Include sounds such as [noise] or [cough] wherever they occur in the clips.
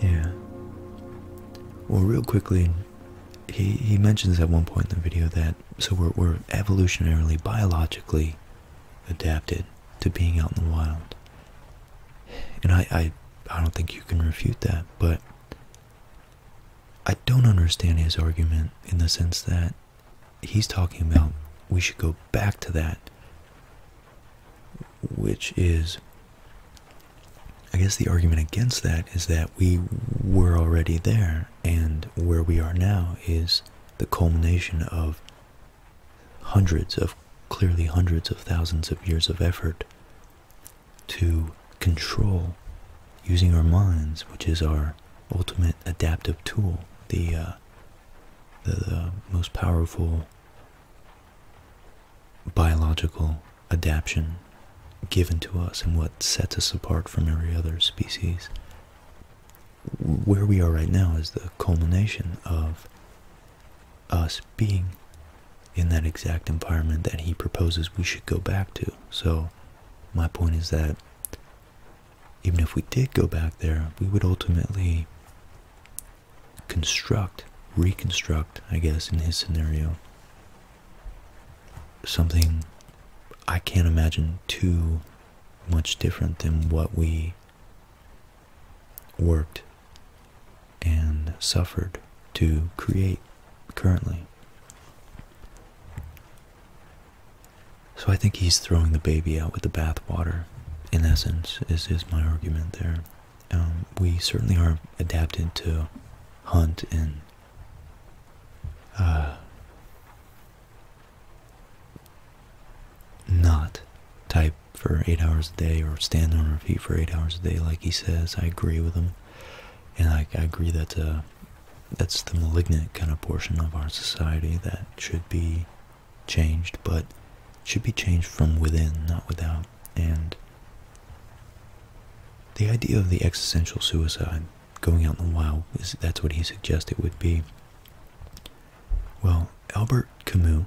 Yeah. Well, real quickly, he, he mentions at one point in the video that so we're, we're evolutionarily, biologically adapted to being out in the wild. And I, I, I don't think you can refute that, but I don't understand his argument in the sense that he's talking about we should go back to that, which is, I guess, the argument against that is that we were already there, and where we are now is the culmination of hundreds of clearly hundreds of thousands of years of effort to control using our minds, which is our ultimate adaptive tool, the uh, the, most powerful biological adaptation given to us and what sets us apart from every other species. Where we are right now is the culmination of us being in that exact environment that he proposes we should go back to. So, my point is that even if we did go back there, we would ultimately construct, reconstruct, I guess, in his scenario, something I can't imagine too much different than what we worked and suffered to create currently. So I think he's throwing the baby out with the bathwater, in essence, is, is my argument there. Um, we certainly are adapted to hunt and uh, not type for eight hours a day or stand on our feet for eight hours a day like he says. I agree with him. And I, I agree that uh, that's the malignant kind of portion of our society that should be changed, but should be changed from within, not without. And the idea of the existential suicide, going out in the wild, is that's what he suggested would be. Well, Albert Camus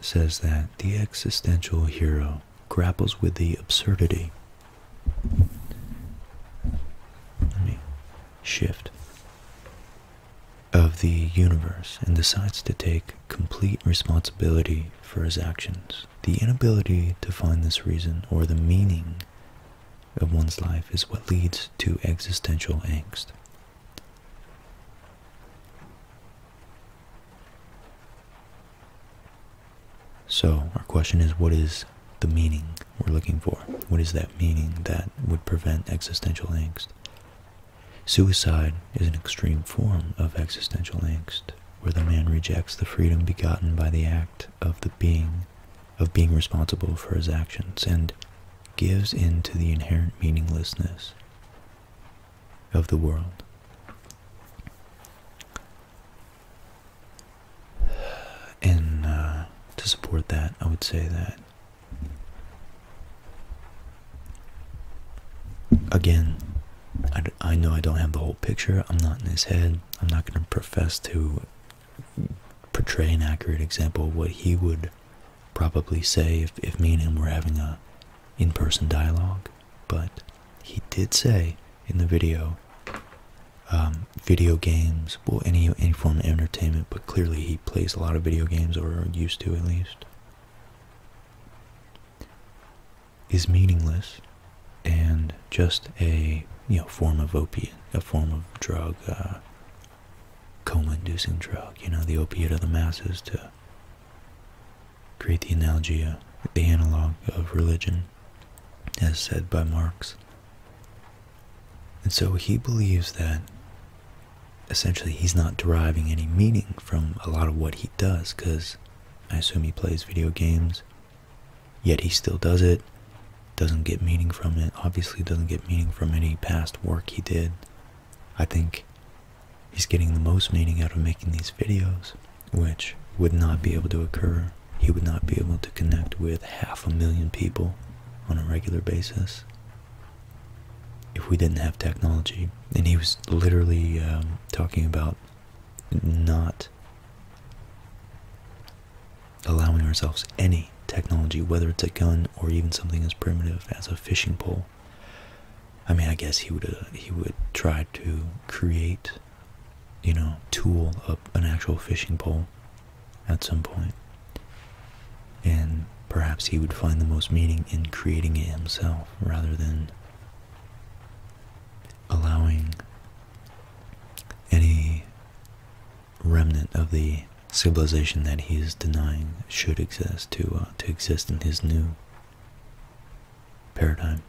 says that the existential hero grapples with the absurdity. Let me shift of the universe and decides to take complete responsibility for his actions. The inability to find this reason or the meaning of one's life is what leads to existential angst. So, our question is what is the meaning we're looking for. What is that meaning that would prevent existential angst? Suicide is an extreme form of existential angst, where the man rejects the freedom begotten by the act of the being, of being responsible for his actions, and gives in to the inherent meaninglessness of the world. And uh, to support that, I would say that Again, I, I know I don't have the whole picture. I'm not in his head. I'm not going to profess to portray an accurate example of what he would probably say if, if me and him were having a in-person dialogue. But he did say in the video, um, video games responsible any any form of entertainment, but clearly he plays a lot of video games or used to at least. Is meaningless and just a you know form of opiate, a form of drug, uh, coma-inducing drug. You know the opiate of the masses to create the analogy, uh, the analog of religion, as said by Marx. And so he believes that essentially he's not deriving any meaning from a lot of what he does because I assume he plays video games, yet he still does it, doesn't get meaning from it, obviously doesn't get meaning from any past work he did. I think he's getting the most meaning out of making these videos, which would not be able to occur. He would not be able to connect with half a million people on a regular basis if we didn't have technology. And he was literally um, talking about not allowing ourselves any technology, whether it's a gun or even something as primitive as a fishing pole. I mean, I guess he would uh, he would try to create, you know, tool up an actual fishing pole at some And perhaps he would find the most meaning in creating it himself rather than allowing any remnant of the civilization that he is denying should exist to uh, to exist in his new paradigm.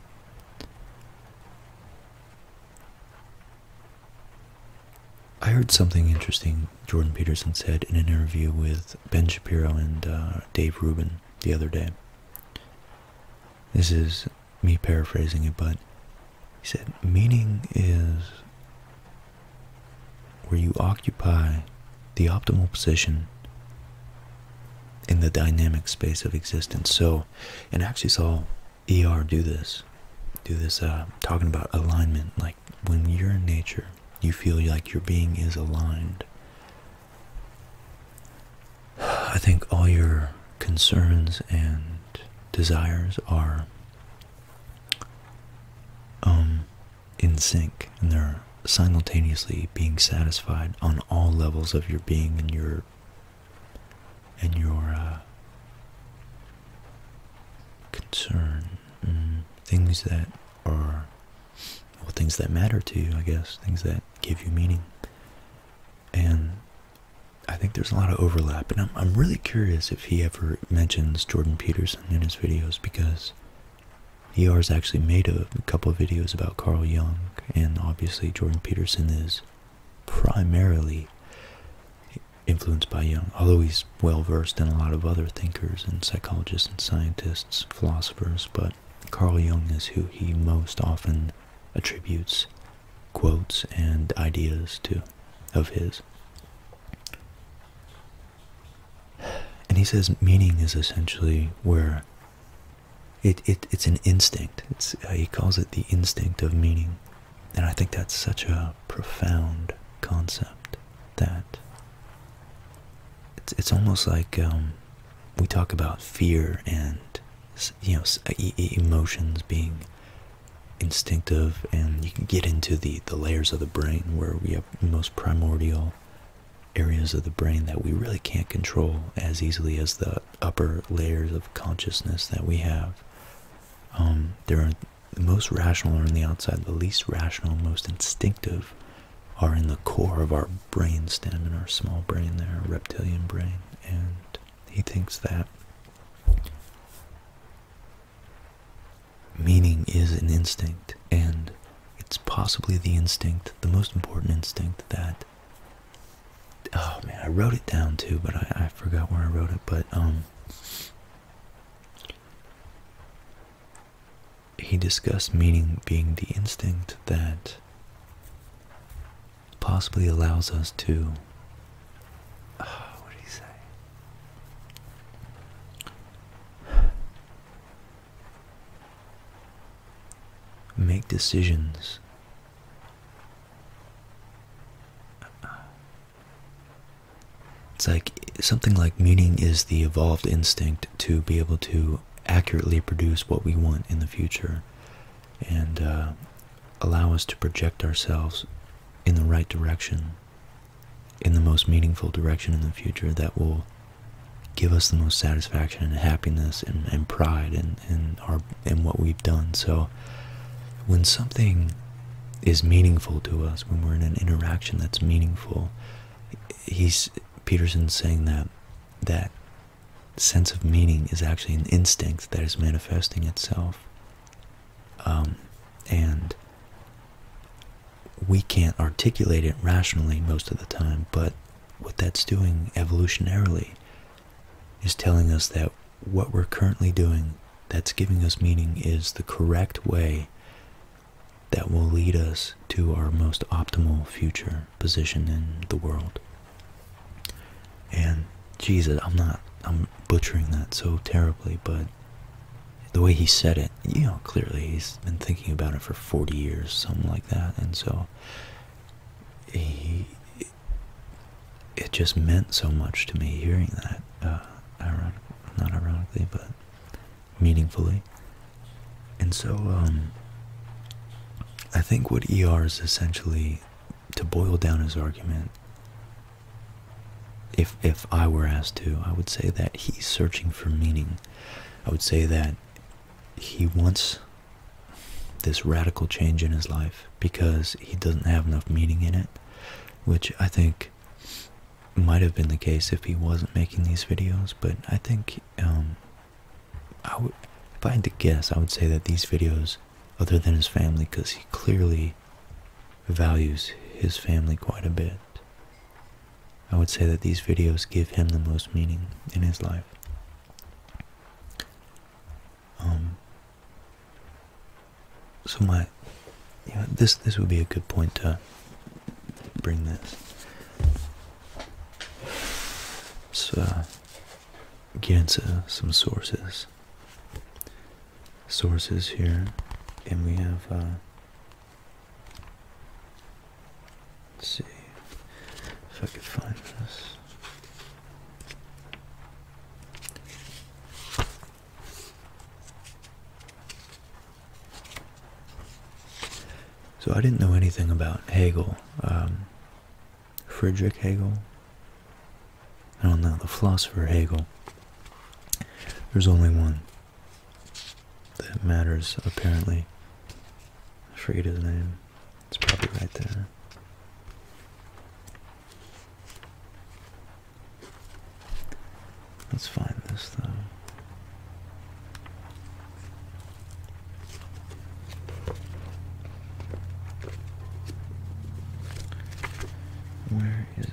I heard something interesting Jordan Peterson said in an interview with Ben Shapiro and uh, Dave Rubin the other day. This is me paraphrasing it, but he said, Meaning is where you occupy the optimal position in the dynamic space of existence. So, and I actually saw ER do this, do this uh, talking about alignment, like when you're in nature you feel like your being is aligned. I think all your concerns and desires are um, in sync and they're simultaneously being satisfied on all levels of your being and your and your uh, concern Mm, things that are things that matter to you, I guess, things that give you meaning. And I think there's a lot of overlap, and I'm, I'm really curious if he ever mentions Jordan Peterson in his videos because has actually made a, a couple of videos about Carl Jung, and obviously Jordan Peterson is primarily influenced by Jung, although he's well versed in a lot of other thinkers and psychologists and scientists, philosophers, but Carl Jung is who he most often attributes quotes and ideas to of his. And he says meaning is essentially where it, it it's an instinct. It's uh, he calls it the instinct of meaning. And I think that's such a profound concept that it's it's almost like um, we talk about fear and you know uh, emotions being instinctive, and you can get into the the layers of the brain where we have most primordial areas of the brain that we really can't control as easily as the upper layers of consciousness that we have. Um, there are the most rational are on the outside, the least rational, most instinctive are in the core of our brain stem and our small brain there, reptilian brain. And he thinks that meaning is an instinct, and it's possibly the instinct, the most important instinct that. Oh man, I wrote it down too, but I, I forgot where I wrote it. But um, he discussed meaning being the instinct that possibly allows us to. Ah, Make decisions. It's like something like meaning is the evolved instinct to be able to accurately produce what we want in the future and uh, allow us to project ourselves in the right direction, in the most meaningful direction in the future that will give us the most satisfaction and happiness and, pride in, in, our, in what we've done. So when something is meaningful to us, when we're in an interaction that's meaningful, he's Peterson's saying that that sense of meaning is actually an instinct that is manifesting itself, um, and we can't articulate it rationally most of the time. But what that's doing evolutionarily is telling us that what we're currently doing that's giving us meaning is the correct way that will lead us to our most optimal future position in the world. And Jesus, I'm not, I'm butchering that so terribly, but the way he said it, you know, clearly he's been thinking about it for 40 years, something like that. And so he, it just meant so much to me hearing that, uh, not ironically, but meaningfully. And so, um, I think what ER is essentially, to boil down his argument, if, if I were asked to, I would say that he's searching for meaning. I would say that he wants this radical change in his life because he doesn't have enough meaning in it, which I think might have been the case if he wasn't making these videos, but I think um, I would, if I had to guess, I would say that these videos, other than his family, because he clearly values his family quite a bit, I would say that these videos give him the most meaning in his life. Um, so my you this this would be a good point to bring this. So uh, get into uh, some sources. Sources here, and we have. Uh, let's see if I can find this. So I didn't know anything about Hegel, um, Friedrich Hegel. I don't know, the philosopher Hegel. There's only one that matters, apparently. I forget his name. It's probably right there. Let's find this though. Where is it?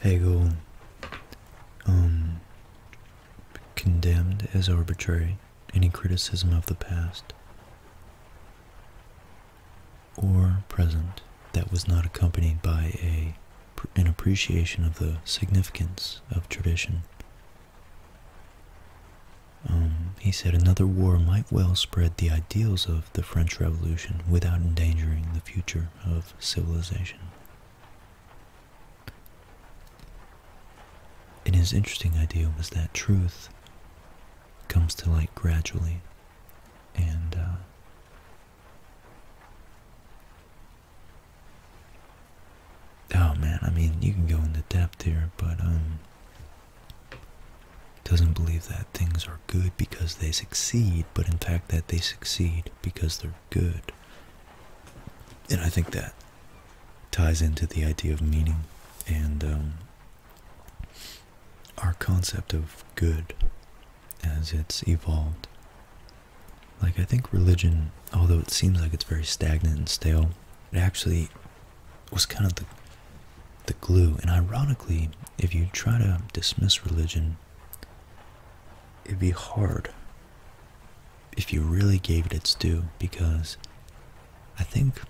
Hegel um, condemned as arbitrary any criticism of the past or present that was not accompanied by a an appreciation of the significance of tradition. Um, he said another war might well spread the ideals of the French Revolution without endangering the future of civilization. And his interesting idea was that truth comes to light gradually and uh, Oh man, I mean, you can go into depth here, but um, doesn't believe that things are good because they succeed, but in fact that they succeed because they're good. And I think that ties into the idea of meaning and um, our concept of good as it's evolved. Like, I think religion, although it seems like it's very stagnant and stale, it actually was kind of the, the glue. And ironically, if you try to dismiss religion, it'd be hard if you really gave it its due because I think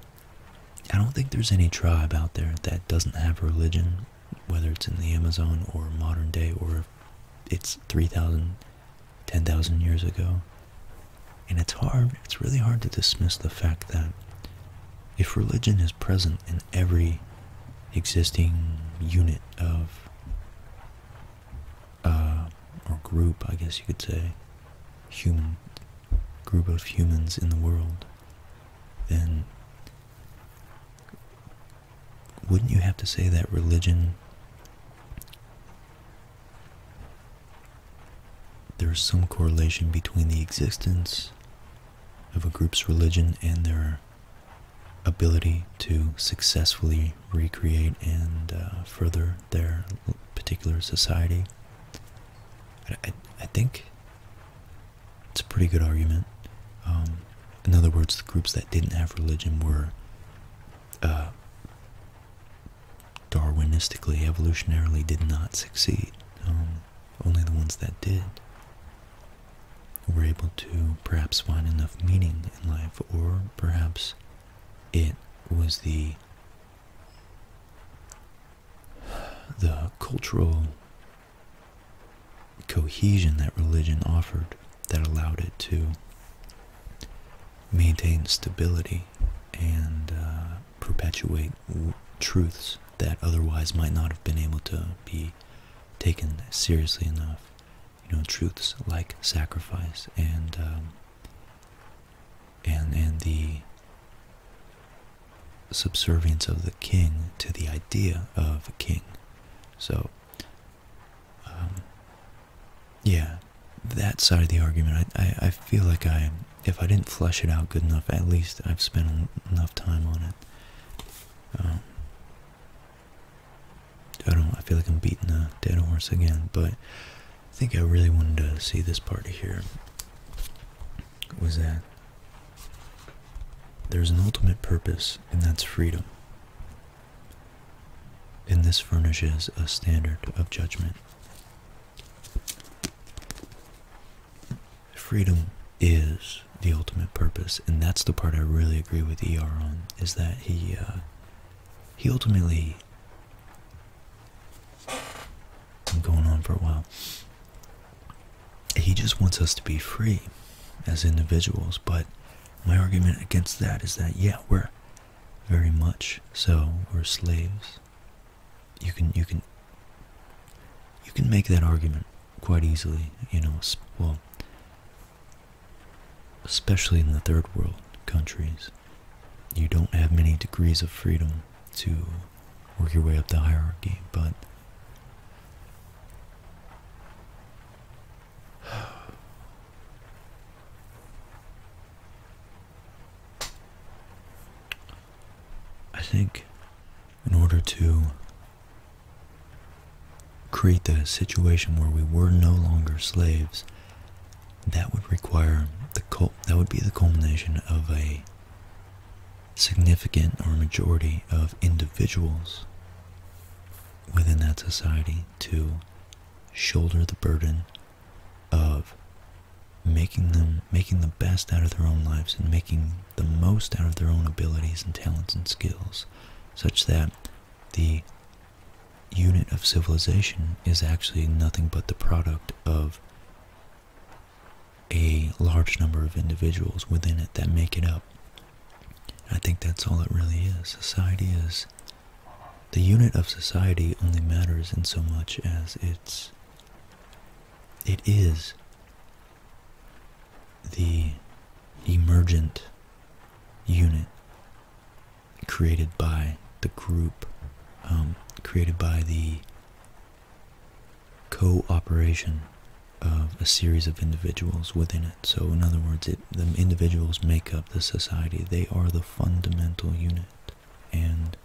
I don't think there's any tribe out there that doesn't have religion whether it's in the Amazon or modern day or it's 3,000, 10,000 years ago. And it's hard, it's really hard to dismiss the fact that if religion is present in every existing unit of, uh, or group, I guess you could say, human, group of humans in the world, then wouldn't you have to say that religion there's some correlation between the existence of a group's religion and their ability to successfully recreate and uh, further their particular society. I, think it's a pretty good argument. Um, in other words, the groups that didn't have religion were uh, Darwinistically, evolutionarily, did not succeed. Um, only the ones that did were able to perhaps find enough meaning in life, or perhaps it was the the cultural cohesion that religion offered that allowed it to maintain stability and uh, perpetuate truths that otherwise might not have been able to be taken seriously enough. You know, truths like sacrifice and um, and and the subservience of the king to the idea of a king. So um, yeah, that side of the argument, I, I, feel like I, if I didn't flesh it out good enough, at least I've spent enough time on it. Um, I don't, I feel like I'm beating a dead horse again, but I think I really wanted to see this part here. Was that there's an ultimate purpose, and that's freedom and this furnishes a standard of judgment. Freedom is the ultimate purpose, and that's the part I really agree with ER on, is that he, uh, he ultimately, I'm going on for a while, he just wants us to be free as individuals, but my argument against that is that yeah we're very much so we're slaves you can you can you can make that argument quite easily you know well especially in the third world countries you don't have many degrees of freedom to work your way up the hierarchy but I think in order to create the situation where we were no longer slaves, that would require the cult, that would be the culmination of a significant or majority of individuals within that society to shoulder the burden of making them making the best out of their own lives and making the most out of their own abilities and talents and skills such that the unit of civilization is actually nothing but the product of a large number of individuals within it that make it up I think that's all it really is. Society is the unit of society only matters in so much as it's it is the emergent unit created by the group, um, created by the cooperation of a series of individuals within it. So, in other words, the individuals make up the society. They are the fundamental unit. And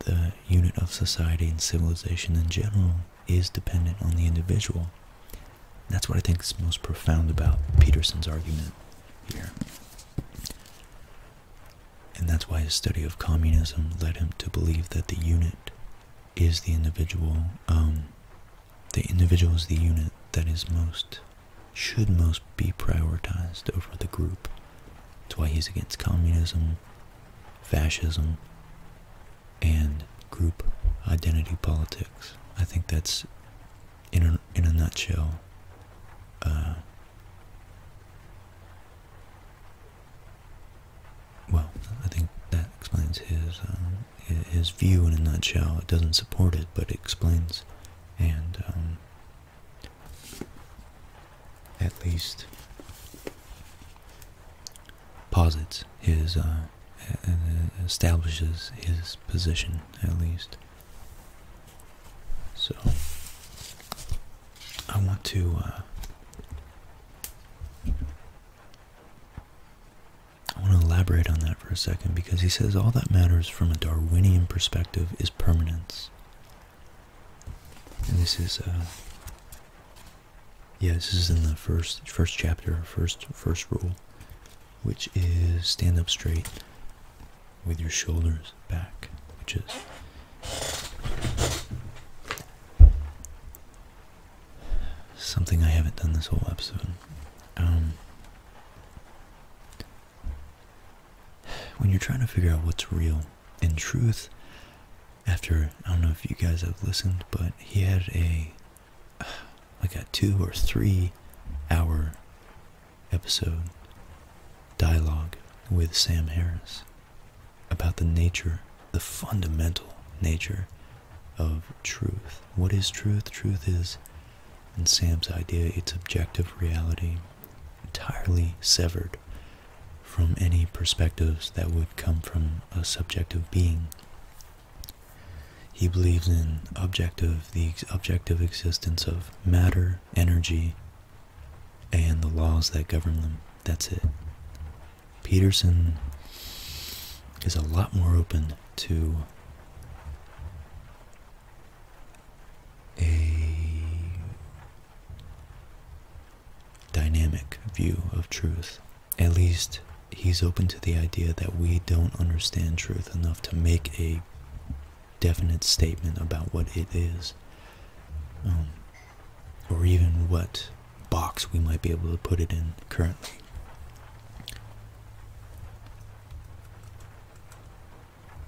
the unit of society and civilization in general is dependent on the individual. That's what I think is most profound about Peterson's argument here. And that's why his study of communism led him to believe that the unit is the individual, um, the individual is the unit that is most, should most be prioritized over the group. That's why he's against communism, fascism, and group identity politics. I think that's, in a, in a nutshell, uh, well, I think that explains his um, his view in a nutshell. It doesn't support it, but it explains, and um, at least posits his, uh, uh, establishes his position, at least. So, I want to, uh, I want to elaborate on that for a second because he says all that matters from a Darwinian perspective is permanence. And this is, uh, yeah, this is in the first first chapter, first first rule, which is stand up straight with your shoulders back, which is something I haven't done this whole episode. Um, when you're trying to figure out what's real in truth, after I don't know if you guys have listened, but he had a like a two or three hour episode dialogue with Sam Harris about the nature, the fundamental nature of truth. What is truth? Truth is, in Sam's idea, it's objective reality entirely severed from any perspectives that would come from a subjective being. He believes in objective, the objective existence of matter, energy, and the laws that govern them. That's it. Peterson is a lot more open to a dynamic view of truth. At least he's open to the idea that we don't understand truth enough to make a definite statement about what it is, um, or even what box we might be able to put it in currently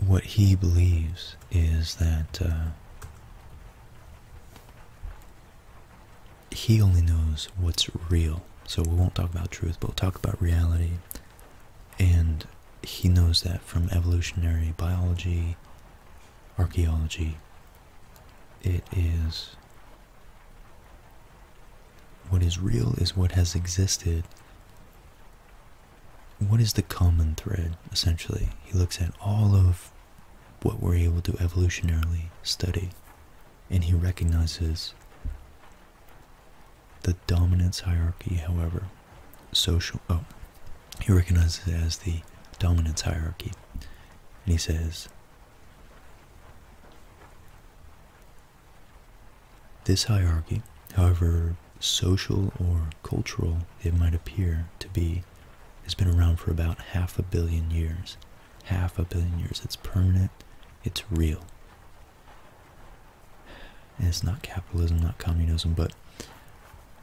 what he believes is that uh, he only knows what's real. So we won't talk about truth, but we'll talk about reality. And he knows that from evolutionary biology, archaeology, it is what is real is what has existed. What is the common thread, essentially? He looks at all of what we're able to evolutionarily study, and he recognizes the dominance hierarchy, however, social. Oh, he recognizes it as the dominance hierarchy, and he says this hierarchy, however social or cultural it might appear to be, has been around for about half a billion years. Half a billion years. It's permanent, it's real. And it's not capitalism, not communism, but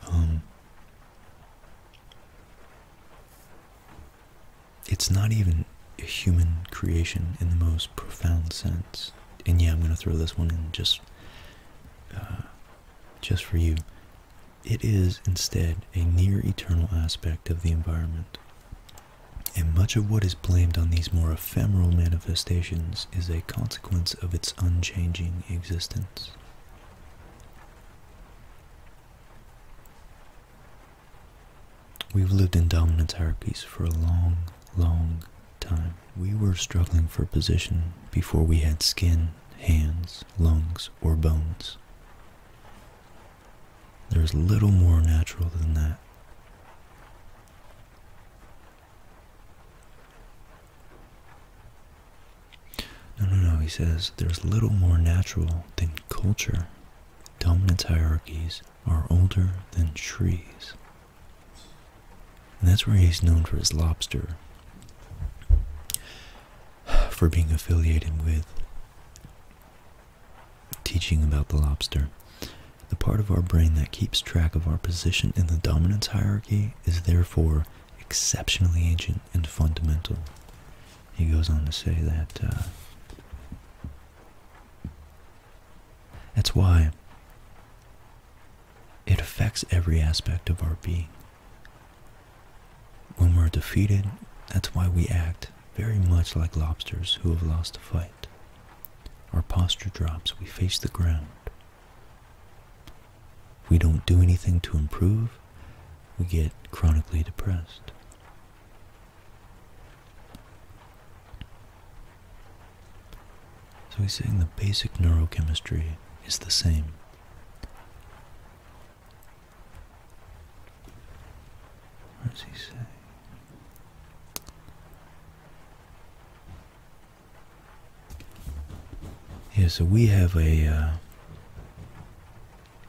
um, it's not even a human creation in the most profound sense. And yeah, I'm going to throw this one in just, uh, just for you. It is instead a near eternal aspect of the environment. And much of what is blamed on these more ephemeral manifestations is a consequence of its unchanging existence. We've lived in dominance hierarchies for a long, long time. We were struggling for position before we had skin, hands, lungs, or bones. There's little more natural than that. No, no, no, he says there's little more natural than culture, dominance hierarchies, are older than trees. And that's where he's known for his lobster, for being affiliated with teaching about the lobster. The part of our brain that keeps track of our position in the dominance hierarchy is therefore exceptionally ancient and fundamental. He goes on to say that uh, that's why it affects every aspect of our being. When we're defeated, that's why we act very much like lobsters who have lost a fight. Our posture drops, we face the ground. We don't do anything to improve, we get chronically depressed. So he's saying the basic neurochemistry is the same. What does he say? Yeah, so we have a. Uh,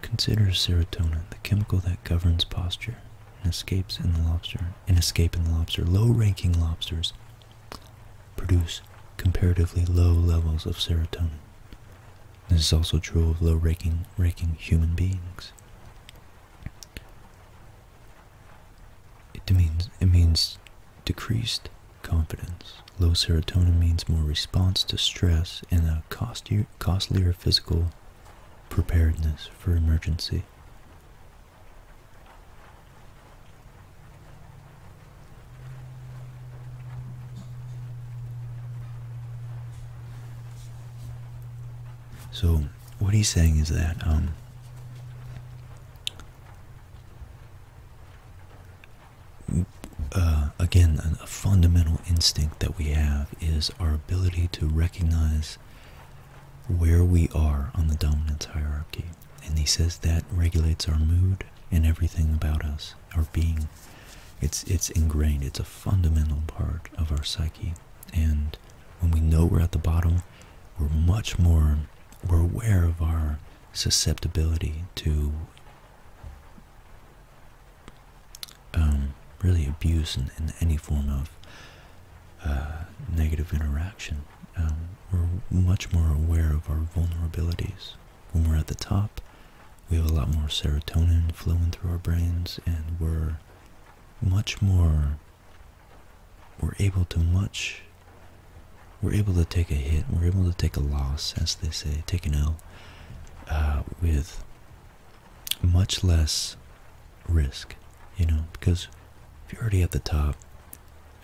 consider serotonin the chemical that governs posture. And escapes in the lobster. An escape in the lobster. Low-ranking lobsters produce comparatively low levels of serotonin. This is also true of low-ranking ranking human beings. It means it means decreased confidence. Low serotonin means more response to stress and a costlier, costlier physical preparedness for emergency. So what he's saying is that um, uh, again, a fundamental instinct that we have is our ability to recognize where we are on the dominance hierarchy. And he says that regulates our mood and everything about us, our being. It's, it's ingrained, it's a fundamental part of our psyche. And when we know we're at the bottom, we're much more, we're aware of our susceptibility to um, really abuse in any form of uh, negative interaction. Um, we're much more aware of our vulnerabilities. When we're at the top, we have a lot more serotonin flowing through our brains, and we're much more, we're able to much, we're able to take a hit, we're able to take a loss, as they say, take an L, uh, with much less risk, you know, because if you're already at the top,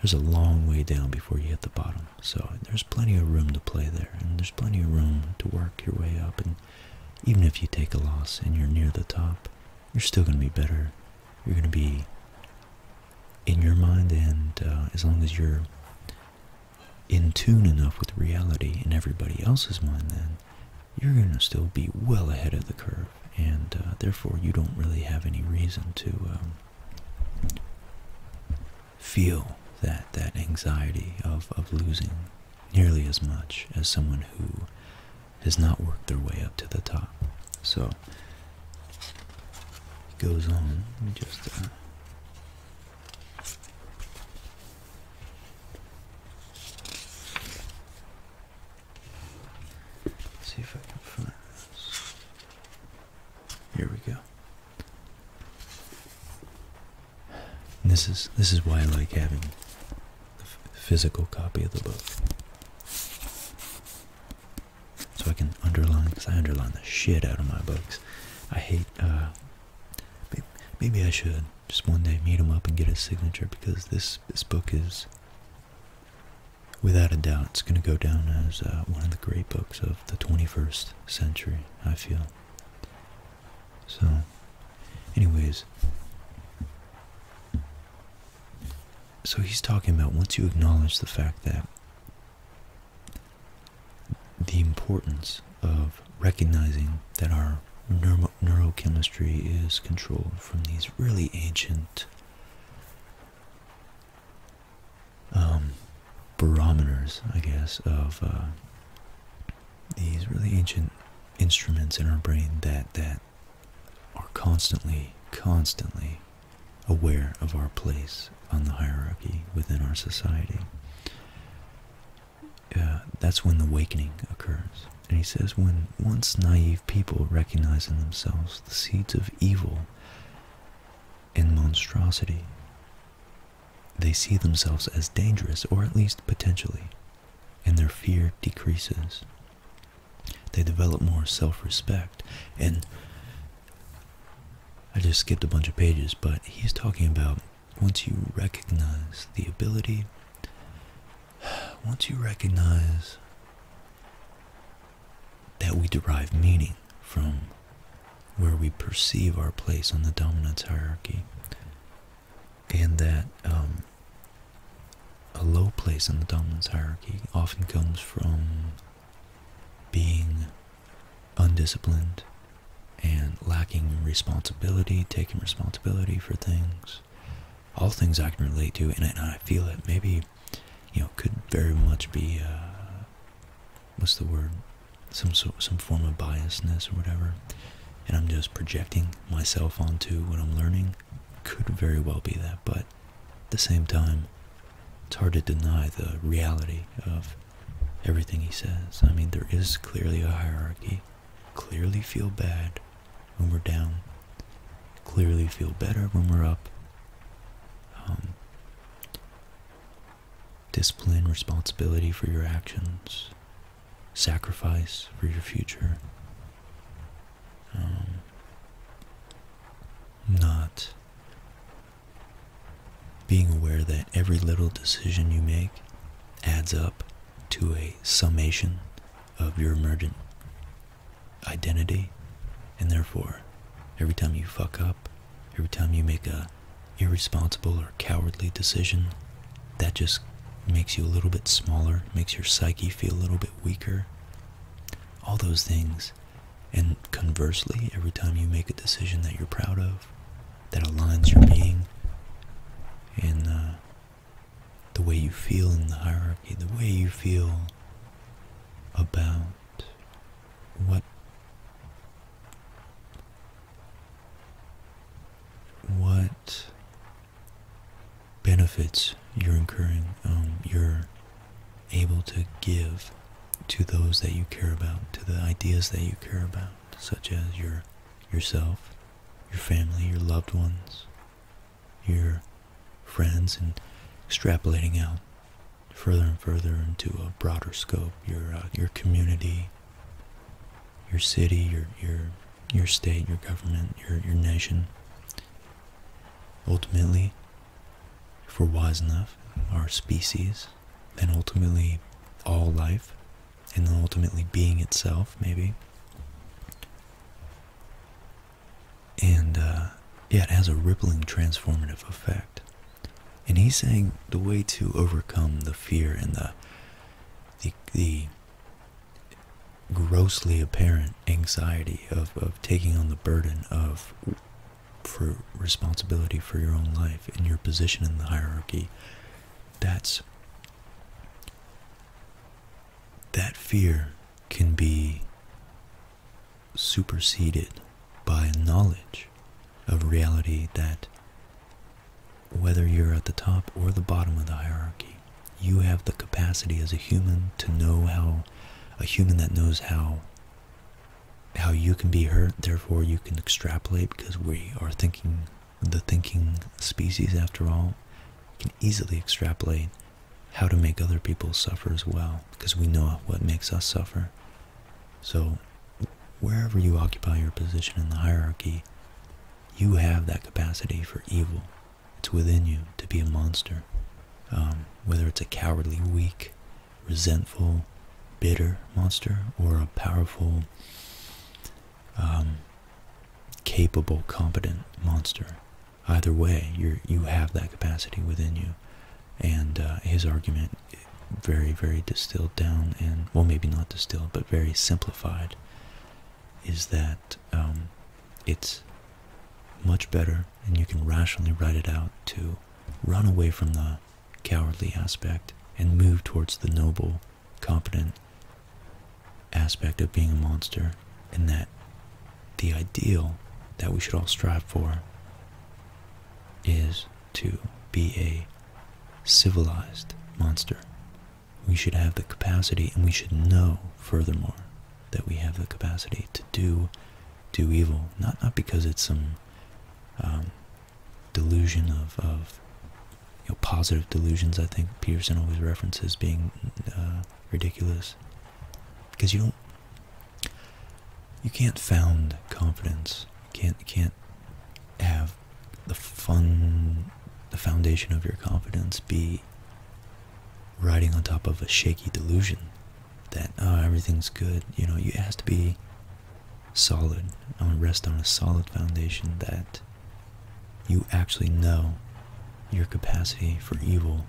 there's a long way down before you hit the bottom. So there's plenty of room to play there, and there's plenty of room to work your way up. And even if you take a loss and you're near the top, you're still going to be better. You're going to be in your mind, and uh, as long as you're in tune enough with reality in everybody else's mind, then you're going to still be well ahead of the curve, and uh, therefore you don't really have any reason to um, feel that that anxiety of, of losing nearly as much as someone who has not worked their way up to the top. So, it goes on, let me just... Uh, see if I can find this. Here we go. this is this is why I like having the physical copy of the book, so I can underline. Cause I underline the shit out of my books. I hate. Uh, maybe, I should just one day meet him up and get a signature because this this book is without a doubt, it's going to go down as uh, one of the great books of the 21st century, I feel. So, anyways, so he's talking about once you acknowledge the fact that the importance of recognizing that our neurochemistry is controlled from these really ancient um, barometers, I guess, of uh, these really ancient instruments in our brain that that are constantly, constantly aware of our place on the hierarchy within our society. Uh, that's when the awakening occurs. And he says, when once naive people recognize in themselves the seeds of evil and monstrosity, they see themselves as dangerous, or at least potentially, and their fear decreases. They develop more self respect. And I just skipped a bunch of pages, but he's talking about once you recognize the ability [sighs] Once you recognize that we derive meaning from where we perceive our place on the dominance hierarchy, and that um, a low place in the dominance hierarchy often comes from being undisciplined and lacking responsibility, taking responsibility for things, all things I can relate to, and I feel it. Maybe, you know, could very much be, uh, what's the word, some sort, some form of biasness or whatever, and I'm just projecting myself onto what I'm learning. Could very well be that, but at the same time, it's hard to deny the reality of everything he says. I mean, there is clearly a hierarchy. Clearly feel bad when we're down, clearly feel better when we're up. Um, discipline, responsibility for your actions, sacrifice for your future. Um, not being aware that every little decision you make adds up to a summation of your emergent identity, and therefore, every time you fuck up, every time you make a irresponsible or cowardly decision, that just makes you a little bit smaller, makes your psyche feel a little bit weaker. All those things. And conversely, every time you make a decision that you're proud of, that aligns your being and uh, the way you feel in the hierarchy, the way you feel about what what benefits you're incurring, um, you're able to give to those that you care about, to the ideas that you care about, such as your yourself, your family, your loved ones, your friends and extrapolating out further and further into a broader scope your uh, your community your city your your your state your government your your nation ultimately if we're wise enough our species and ultimately all life and then ultimately being itself maybe and uh, yeah, it has a rippling transformative effect. And he's saying the way to overcome the fear and the the, grossly apparent anxiety of, of taking on the burden of for responsibility for your own life and your position in the hierarchy that's that fear can be superseded by knowledge of reality that whether you're at the top or the bottom of the hierarchy, you have the capacity as a human to know how a human that knows how how you can be hurt, therefore you can extrapolate because we are thinking the thinking species after all can easily extrapolate how to make other people suffer as well, because we know what makes us suffer. So, wherever you occupy your position in the hierarchy, you have that capacity for evil. It's within you to be a monster. Um, whether it's a cowardly, weak, resentful, bitter monster, or a powerful, um, capable, competent monster Either way, you you have that capacity within you. And uh, his argument, very, very distilled down, and well, maybe not distilled, but very simplified, is that um, it's much better, and you can rationally write it out to run away from the cowardly aspect and move towards the noble, competent aspect of being a monster, and that the ideal that we should all strive for is to be a civilized monster. We should have the capacity, and we should know, furthermore, that we have the capacity to do do evil, not not because it's some um, delusion of, of you know, positive delusions. I think Peterson always references being uh, ridiculous because you don't you can't found confidence you can't can't have the fun the foundation of your confidence be riding on top of a shaky delusion that oh, everything's good you know you has to be solid i want to rest on a solid foundation that you actually know your capacity for evil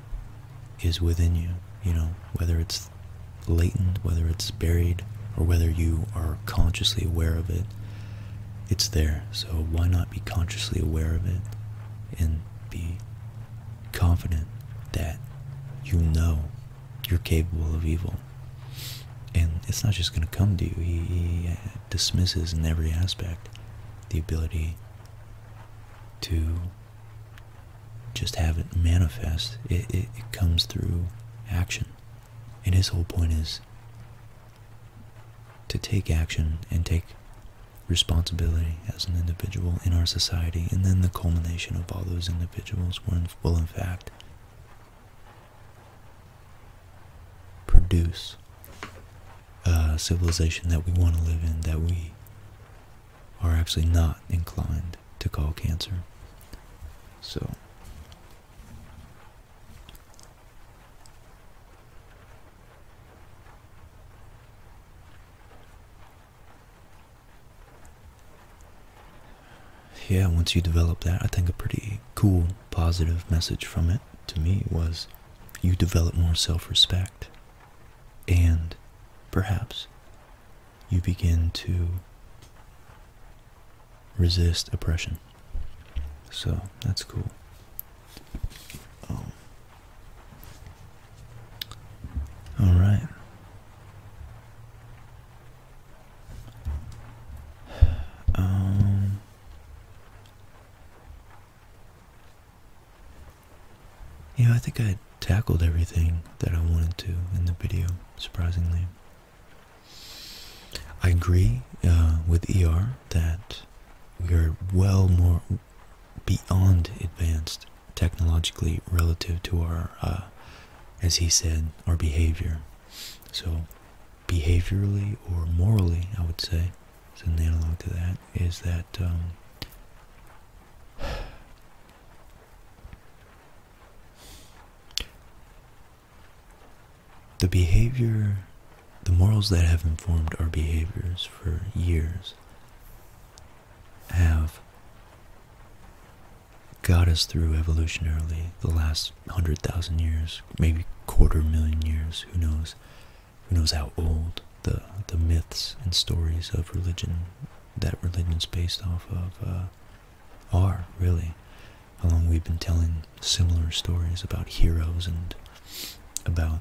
is within you, you know, whether it's latent, whether it's buried, or whether you are consciously aware of it, it's there. So why not be consciously aware of it and be confident that you know you're capable of evil? And it's not just going to come to you. He, dismisses in every aspect the ability to just have it manifest. It, comes through action. And his whole point is to take action and take responsibility as an individual in our society. And then the culmination of all those individuals will in fact, produce a civilization that we want to live in, that we are actually not inclined to call cancer. So, yeah, once you develop that, I think a pretty cool, positive message from it to me was you develop more self respect and perhaps you begin to resist oppression. So that's cool. Um, all right. [sighs] Um, you know, I think I tackled everything that I wanted to in the video, surprisingly. I agree uh, with ER that we are well more beyond advanced technologically relative to our, uh, as he said, our behavior. So, behaviorally or morally, I would say, as an analog to that, is that um, [sighs] the behavior, the morals that have informed our behaviors for years have got us through evolutionarily the last hundred thousand years, maybe quarter million years, who knows who knows how old the the myths and stories of religion that religion's based off of uh, are really how long we've been telling similar stories about heroes and about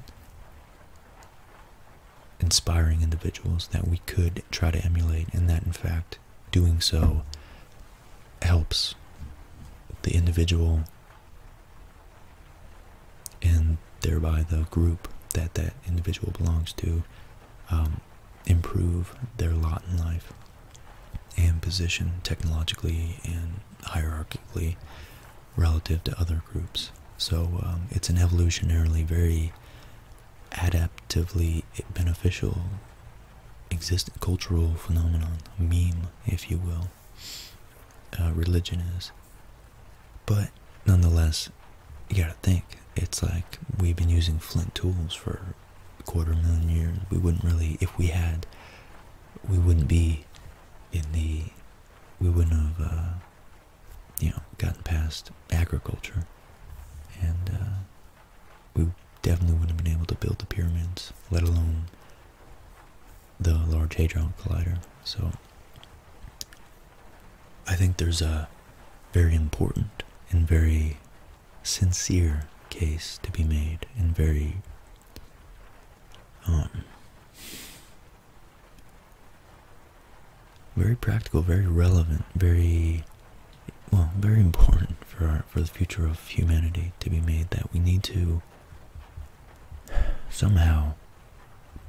inspiring individuals that we could try to emulate and that in fact doing so helps the individual and thereby the group that that individual belongs to um, improve their lot in life and position technologically and hierarchically relative to other groups. So um, it's an evolutionarily very adaptively beneficial existent cultural phenomenon, meme, if you will. Uh, religion is. But nonetheless, you gotta think. It's like we've been using flint tools for a quarter million years. We wouldn't really, if we had, we wouldn't be in the, we wouldn't have, uh, you know, gotten past agriculture. And uh, we definitely wouldn't have been able to build the pyramids, let alone the Large Hadron Collider. So I think there's a very important and very sincere case to be made, and very um, very practical, very relevant, very well, very important for our, for the future of humanity to be made. That we need to somehow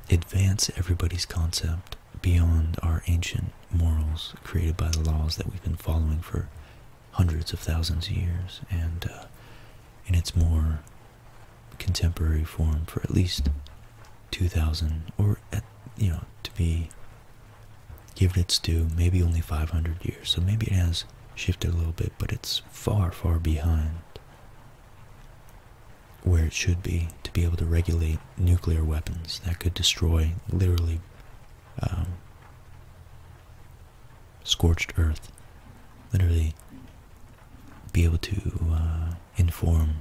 advance everybody's concept beyond our ancient morals created by the laws that we've been following for hundreds of thousands of years and uh, in its more contemporary form for at least 2000 or you know to be given its due maybe only 500 years so maybe it has shifted a little bit but it's far far behind where it should be to be able to regulate nuclear weapons that could destroy literally um, scorched earth, literally be able to uh, inform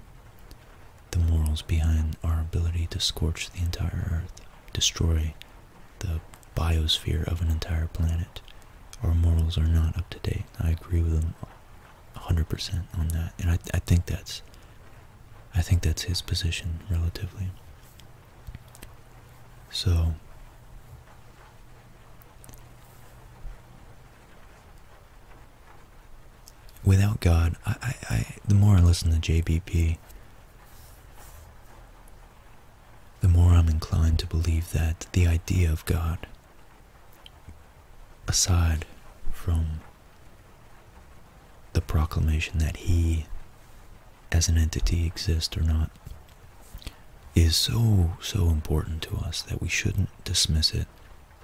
the morals behind our ability to scorch the entire earth, destroy the biosphere of an entire planet. Our morals are not up to date. I agree with them 100% on that, and I, think that's, I think that's his position relatively. So, without God, I, I the more I listen to JBP, the more I'm inclined to believe that the idea of God, aside from the proclamation that he as an entity exists or not is so so important to us that we shouldn't dismiss it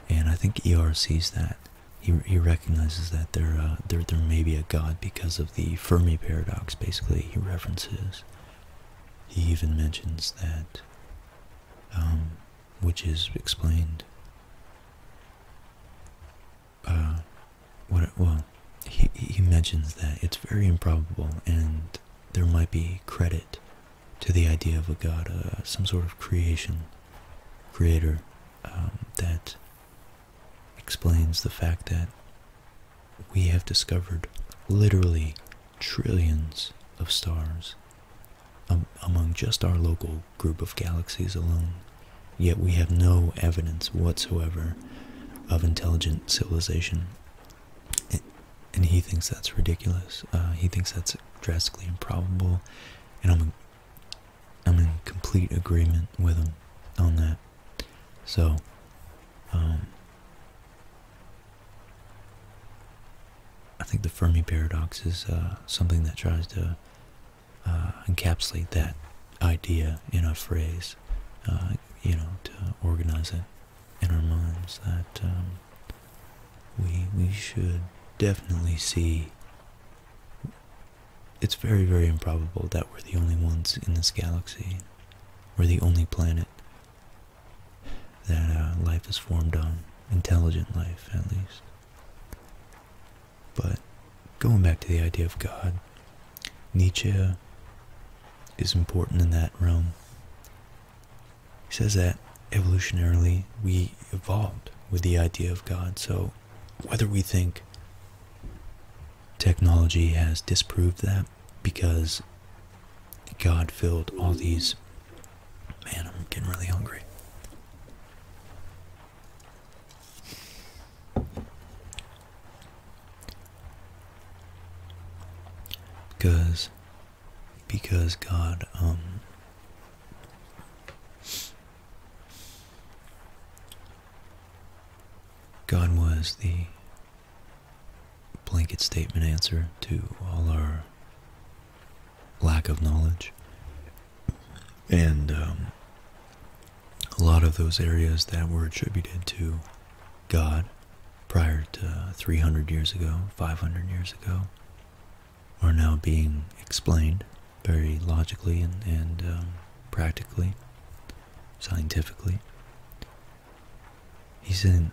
and i think er sees that he, he recognizes that there, uh, there there may be a god because of the fermi paradox basically he references he even mentions that um, which is explained. Uh, what? Well, he he mentions that it's very improbable, and there might be credit to the idea of a god, uh, some sort of creation, creator, um, that explains the fact that we have discovered literally trillions of stars among just our local group of galaxies alone, yet we have no evidence whatsoever of intelligent civilization. and he thinks that's ridiculous. Uh, he thinks that's drastically improbable, and I'm, I'm in complete agreement with him on that. So, um, I think the Fermi paradox is uh, something that tries to uh, encapsulate that idea in a phrase, uh, you know, to organize it in our minds that um, we, we should definitely see it's very, very improbable that we're the only ones in this galaxy. We're the only planet that life has formed on, intelligent life at least. But going back to the idea of God, Nietzsche is important in that realm. He says that evolutionarily we evolved with the idea of God. So whether we think technology has disproved that because God filled all these Man, I'm getting really hungry. Because, because God, um, God was the blanket statement answer to all our lack of knowledge. And um, a lot of those areas that were attributed to God prior to 300 years ago, 500 years ago, are now being explained very logically and, um, practically, scientifically. He's in,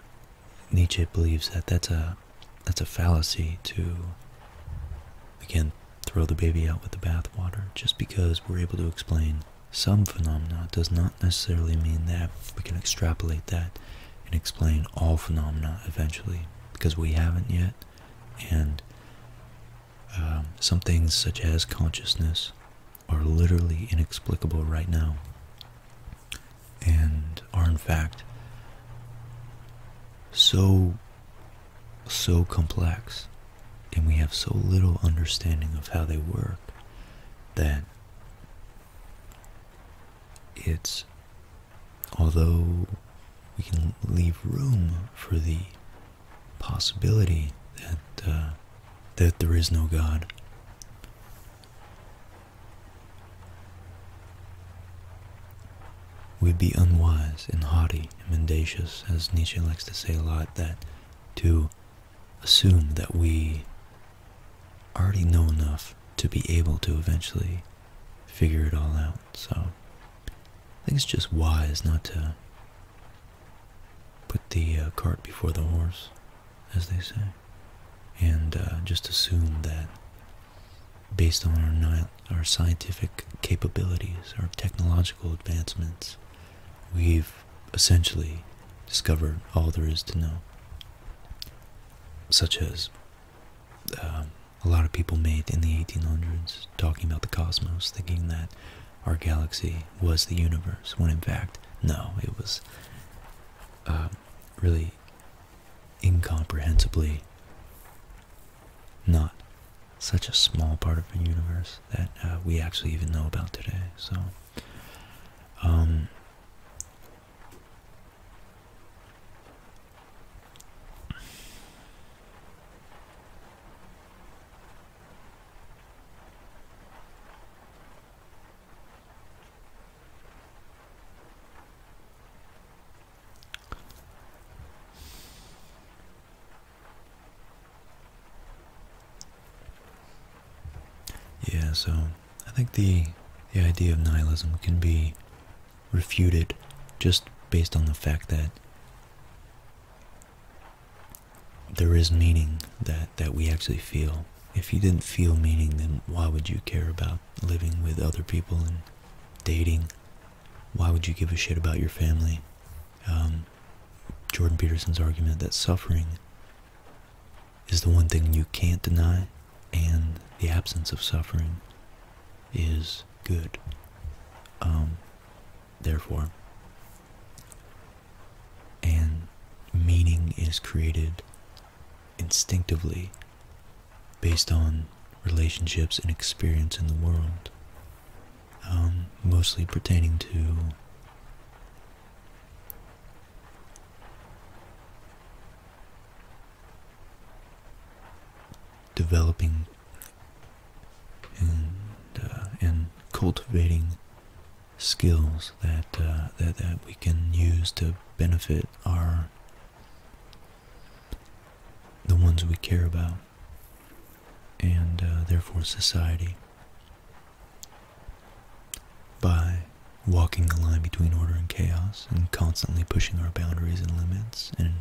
Nietzsche believes that that's a that's a fallacy to again throw the baby out with the bathwater just because we're able to explain some phenomena does not necessarily mean that we can extrapolate that and explain all phenomena eventually because we haven't yet and um, some things such as consciousness are literally inexplicable right now and are in fact so so complex and we have so little understanding of how they work that it's although we can leave room for the possibility that uh, that there is no God We'd be unwise and haughty and mendacious, as Nietzsche likes to say a lot, that to assume that we already know enough to be able to eventually figure it all out. So I think it's just wise not to put the uh, cart before the horse, as they say, and uh, just assume that based on our, our scientific capabilities, our technological advancements. We've essentially discovered all there is to know, such as um, a lot of people made in the 1800s talking about the cosmos, thinking that our galaxy was the universe, when in fact, no, it was um, really incomprehensibly not such a small part of the universe that uh, we actually even know about today. So, um, yeah, so I think the the idea of nihilism can be refuted just based on the fact that there is meaning that, that we actually feel. If you didn't feel meaning, then why would you care about living with other people and dating why would you give a shit about your family? Um, Jordan Peterson's argument that suffering is the one thing you can't deny, and the absence of suffering is good. Um, therefore, and meaning is created instinctively based on relationships and experience in the world, um, mostly pertaining to developing and uh, and cultivating skills that uh, that that we can use to benefit our the ones we care about and uh, therefore society by walking the line between order and chaos and constantly pushing our boundaries and limits and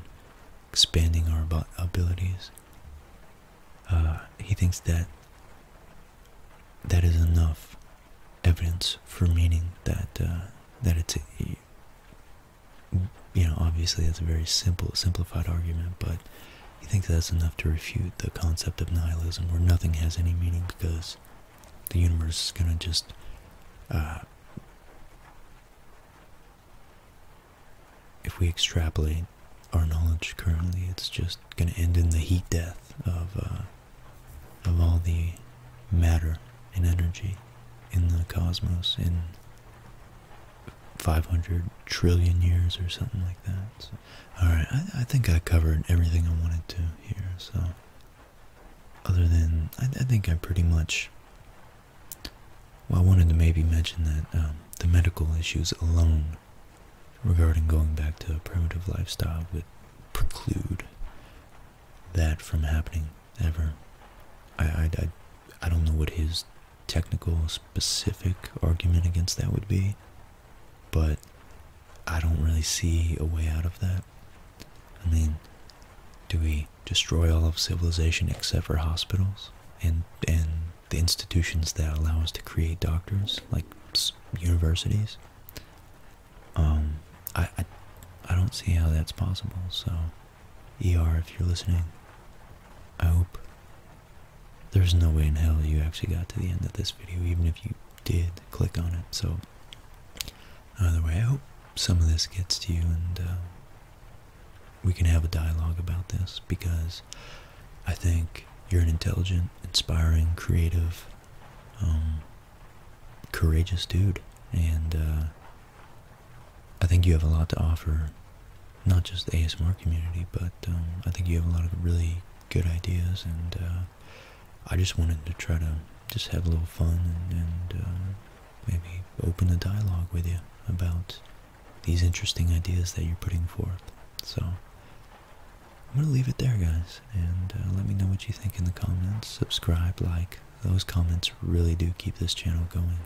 expanding our abilities. Uh, he thinks that that is enough evidence for meaning that uh, that it's you know, obviously that's a very simple, simplified argument, but you think that's enough to refute the concept of nihilism where nothing has any meaning because the universe is going to just uh, if we extrapolate our knowledge currently, it's just going to end in the heat death of uh, of all the matter and energy in the cosmos in 500 trillion years or something like that. Alright, I, think I covered everything I wanted to here, so other than, I, think I pretty much, well I wanted to maybe mention that um, the medical issues alone regarding going back to a primitive lifestyle would preclude that from happening ever. I, I, I, don't know what his technical, specific argument against that would be, but I don't really see a way out of that. I mean, do we destroy all of civilization except for hospitals and and the institutions that allow us to create doctors, like universities? Um, I, I, I don't see how that's possible. So ER, if you're listening, I hope there's no way in hell you actually got to the end of this video, even if you did click on it. So, either way, I hope some of this gets to you and uh, we can have a dialogue about this because I think you're an intelligent, inspiring, creative, um, courageous dude. And, uh, I think you have a lot to offer, not just the ASMR community, but um, I think you have a lot of really good ideas, and uh, I just wanted to try to just have a little fun and, uh, maybe open a dialogue with you about these interesting ideas that you're putting forth. So I'm going to leave it there, guys, and uh, let me know what you think in the comments. Subscribe, like. Those comments really do keep this channel going.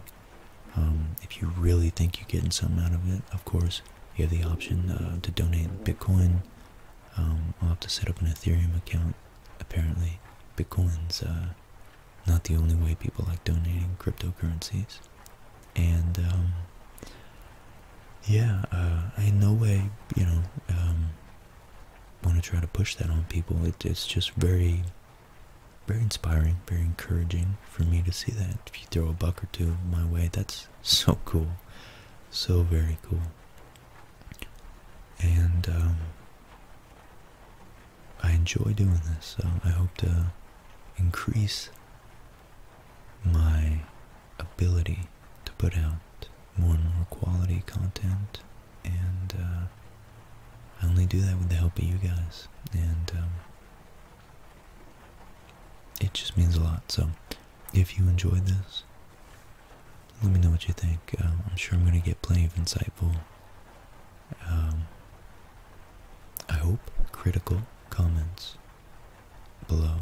Um, if you really think you're getting something out of it, of course, you have the option uh, to donate Bitcoin. Um, I'll have to set up an Ethereum account. Apparently, Bitcoin's uh, not the only way people like donating cryptocurrencies. And um, yeah, I uh, in no way, you know, want to try to push that on people. it's just very very inspiring, very encouraging for me to see that. If you throw a buck or two my way, that's so cool, so very cool. And um, I enjoy doing this, so I hope to increase my ability to put out more and more quality content and uh, I only do that with the help of you guys and um, it just means a lot. So if you enjoyed this, let me know what you think. Um, I'm sure I'm going to get plenty of insightful, um, I hope, critical comments below.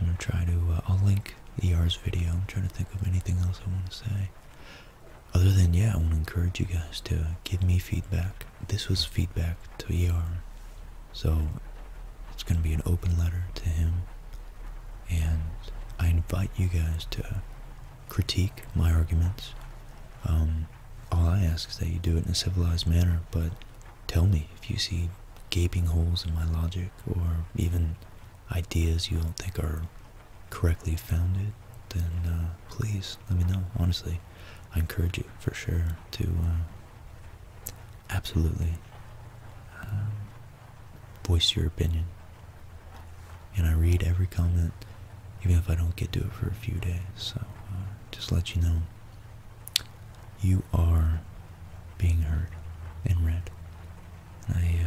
I'm going to try to, uh, I'll link ER's video. I'm trying to think of anything else I want to say other than, yeah, I want to encourage you guys to give me feedback. This was feedback to ER. So it's going to be an open letter to him. And I invite you guys to critique my arguments. Um, all I ask is that you do it in a civilized manner, but tell me if you see gaping holes in my logic or even ideas you don't think are correctly found it, then uh, please let me know. Honestly, I encourage you for sure to uh, absolutely um, voice your opinion. And I read every comment, even if I don't get to it for a few days. So uh, just let you know, you are being heard and read. I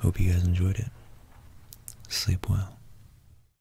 hope you guys enjoyed it. Sleep well.